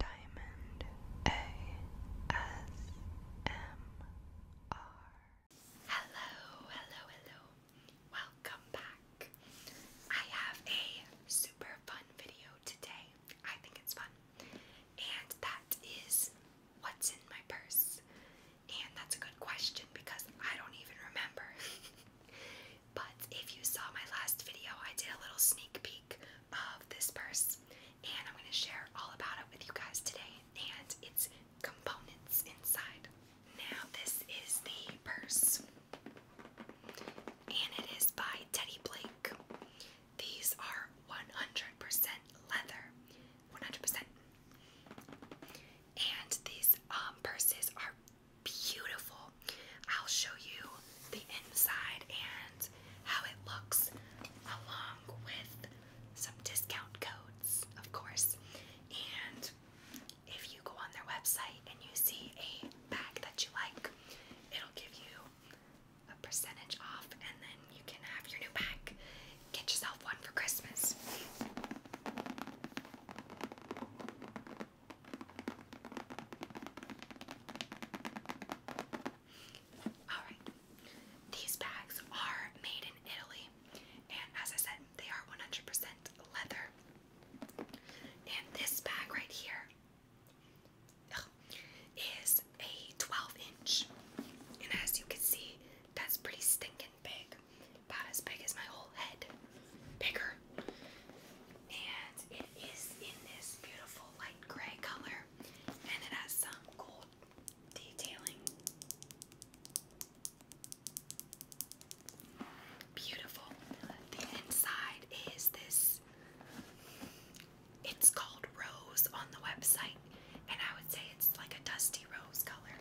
Diamond ASMR. Hello, hello, hello. Welcome back. I have a super fun video today. I think it's fun. And that is what's in my purse. And that's a good question because I don't even remember. but if you saw my last video, I did a little sneak peek of this purse, and I'm going to share all about it with you guys today and its components inside. Now, this is the purse, and it is by Teddy Blake. These are 100% leather, 100%. And these um, purses are beautiful. I'll show you the inside and how it looks along with some discount codes, of course. And if you go on their website and you see a bag that you like, it'll give you a percentage off and then you can have your new bag. Get yourself one for Christmas. Alright, these bags are made in Italy, and as I said, they are 100% leather. And this bag right here is a 12 inch, and as you can see, that's pretty stinking big. About as big as my whole head. Bigger. And it is in this beautiful light gray color. And it has some gold detailing. Beautiful. The inside is this. It's called Rose on the website, and I would say it's like a dusty rose color.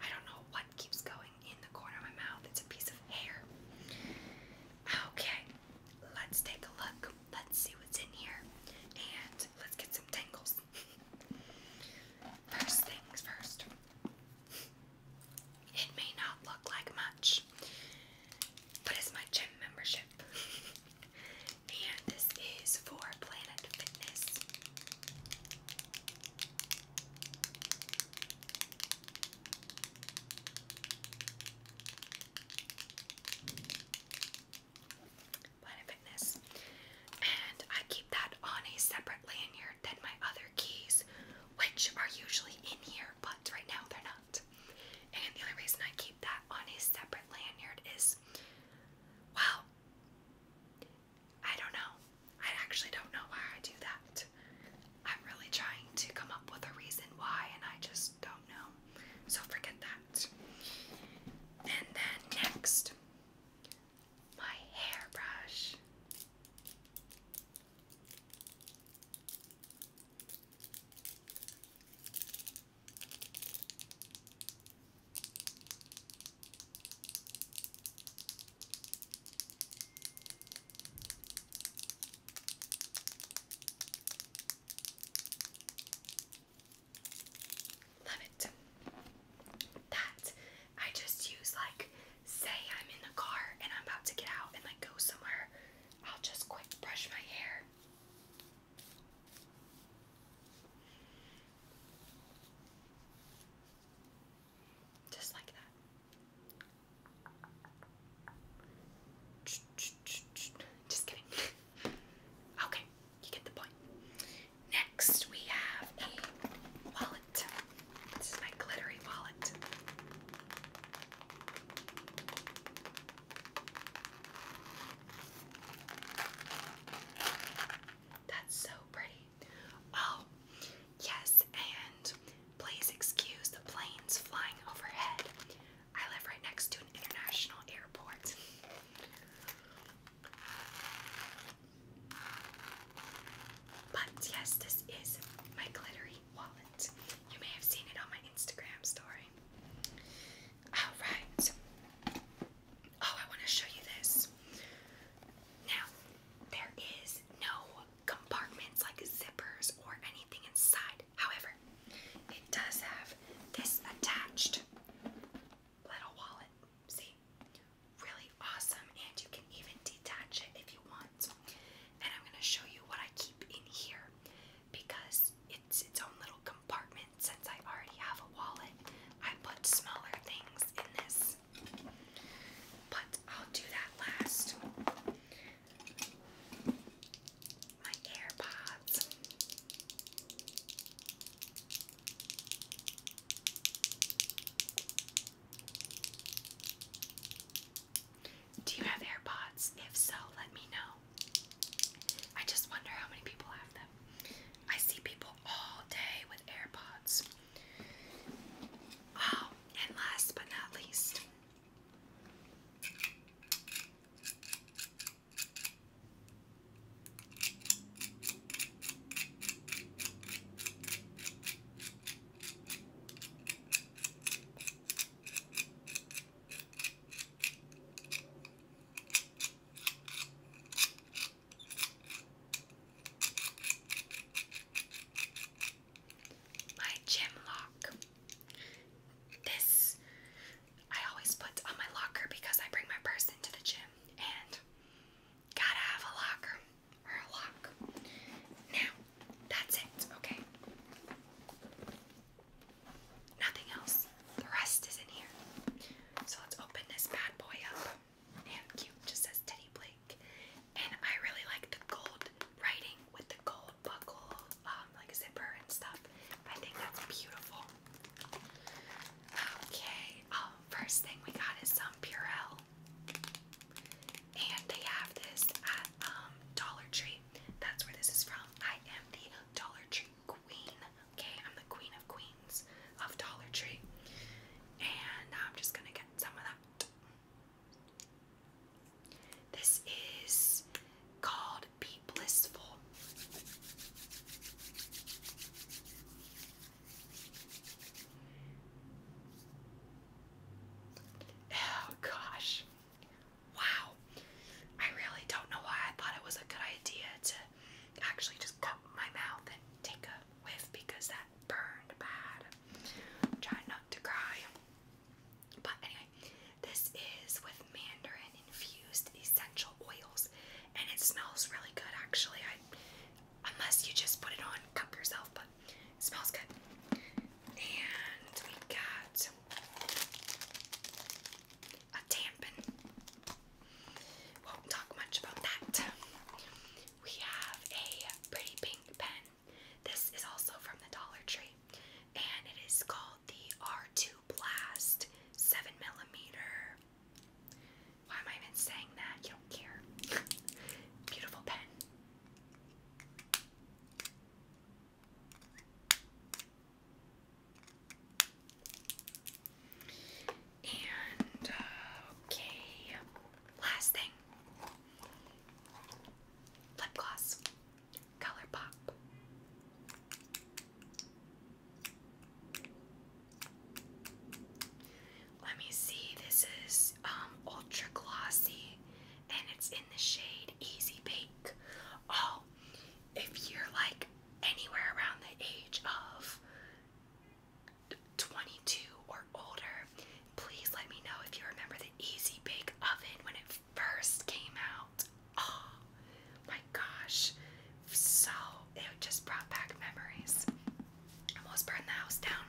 I don't know what keeps going in the corner of my mouth. It's a piece of hair. Okay, let's take a look. Let's see what's in here and let's get some tangles. first things first. It may not look like much, but it's my gym membership. and this is for Planet Fitness. Planet Fitness. And I keep that on a separate lanyard than my other keys, which are usually in here, but right now they're not. And the only reason I keep that on a separate lanyard is, well, I don't know. I actually don't know why I do that. I'm really trying to come up with a reason why, and I just don't know. So forget that. And then next, my hairbrush. Love it. That I just use like say I'm in the car and I'm about to get out and like go somewhere. I'll just quick brush my hair. Just like that. Just kidding. Okay, you get the point. Next, we have a wallet. This is my glittery wallet. That's so pretty. Oh, Yes, and please excuse the planes flying overhead. I live right next to an international airport. But yes, this is my glittery wallet. You may have seen it on my Instagram story. Alright. Oh, I want to show you this. Now, there is no compartments like zippers or anything inside. However, it does have this attached little wallet. See? Really awesome, and you can even detach it if you want. And I'm going to show you what I keep in here because it's its own little compartment. Since I already have a wallet, I put smaller things in this. But I'll do that last. My AirPods. Do you have AirPods? If so, let me know. I just wonder how many people have them. I see people all day with AirPods. Oh, and last but not least, my gym lock. This I always put on my locker because I bring my purse into the gym and gotta have a locker or a lock. Now, that's it, okay? Nothing else. The rest is in here. So let's open this bad boy up. Damn cute. Just says Teddy Blake. And I really like the gold writing with the gold buckle, um, like zipper and stuff. I think that's beautiful. Okay. Um, first thing we got is some Purell. And they have this at um, Dollar Tree. That's where this is from. I am the Dollar Tree queen. Okay, I'm the queen of queens of Dollar Tree. And I'm just gonna get some of that this is called Be Blissful. Oh gosh. Wow. I really don't know why I thought it was a good idea to actually just cut my mouth and take a whiff because that burned bad. trying not to cry. But anyway, this is with mandarin infused essential oils, and it smells really good actually. I, unless you just put it on, cup yourself, but it smells good. And we got a tampon. Won't talk much about that. We have a pretty pink pen. This is also from the Dollar Tree, and it is called the R2 Blast 7 Millimeter. Why am I even saying that? You don't care. Beautiful pen. And, uh, okay last thing lip gloss, color Let me see. This is um, ultra glossy, and it's in the shade Easy Bake. Oh, if you're like anywhere around the age of 22 or older. Please let me know if you remember the Easy Bake Oven when it first came out. Oh my gosh. So it just brought back memories. Almost burned the house down.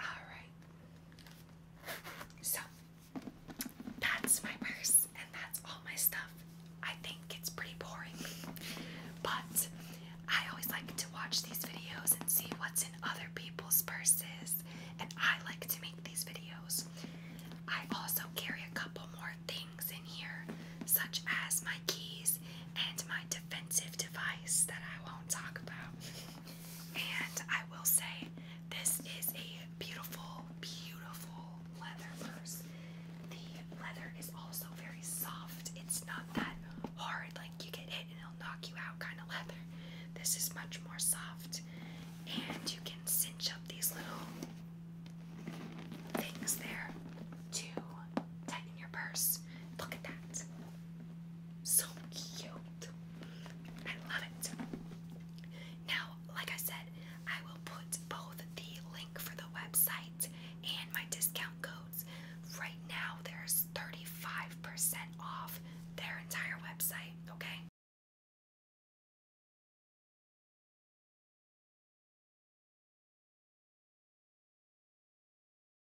Alright. So that's my purse and that's all my stuff. I think it's pretty boring. But I always like to watch these videos and see what's in other people's purses, and I like to make these videos. I also carry a couple more things in here, such as my keys and my defensive device that I won't talk about. And I will say, this is a beautiful, beautiful leather purse. The leather is also very soft. It's not that hard, like you get hit and it'll knock you out kind of leather. This is much more soft, and you can cinch up these little things there to tighten your purse. Look at that. So cute. I love it. Now, like I said, I will put both the link for the website and my discount codes. Right now, there's 35% off their entire website, okay?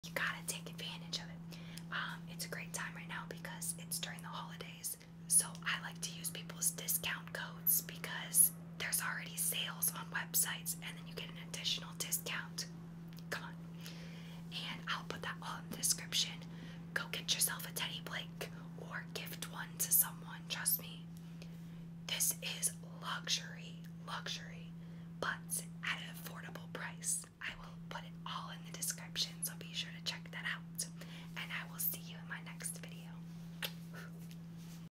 You gotta take advantage of it. Um, it's a great time right now because it's during the holidays. So I like to use people's discount codes because there's already sales on websites and then you get an additional discount. Come on. And I'll put that all in the description. Go get yourself a Teddy Blake or gift one to someone, trust me. This is luxury, luxury, but at an affordable price. I will put it all in the description, so be sure to check that out. And I will see you in my next video.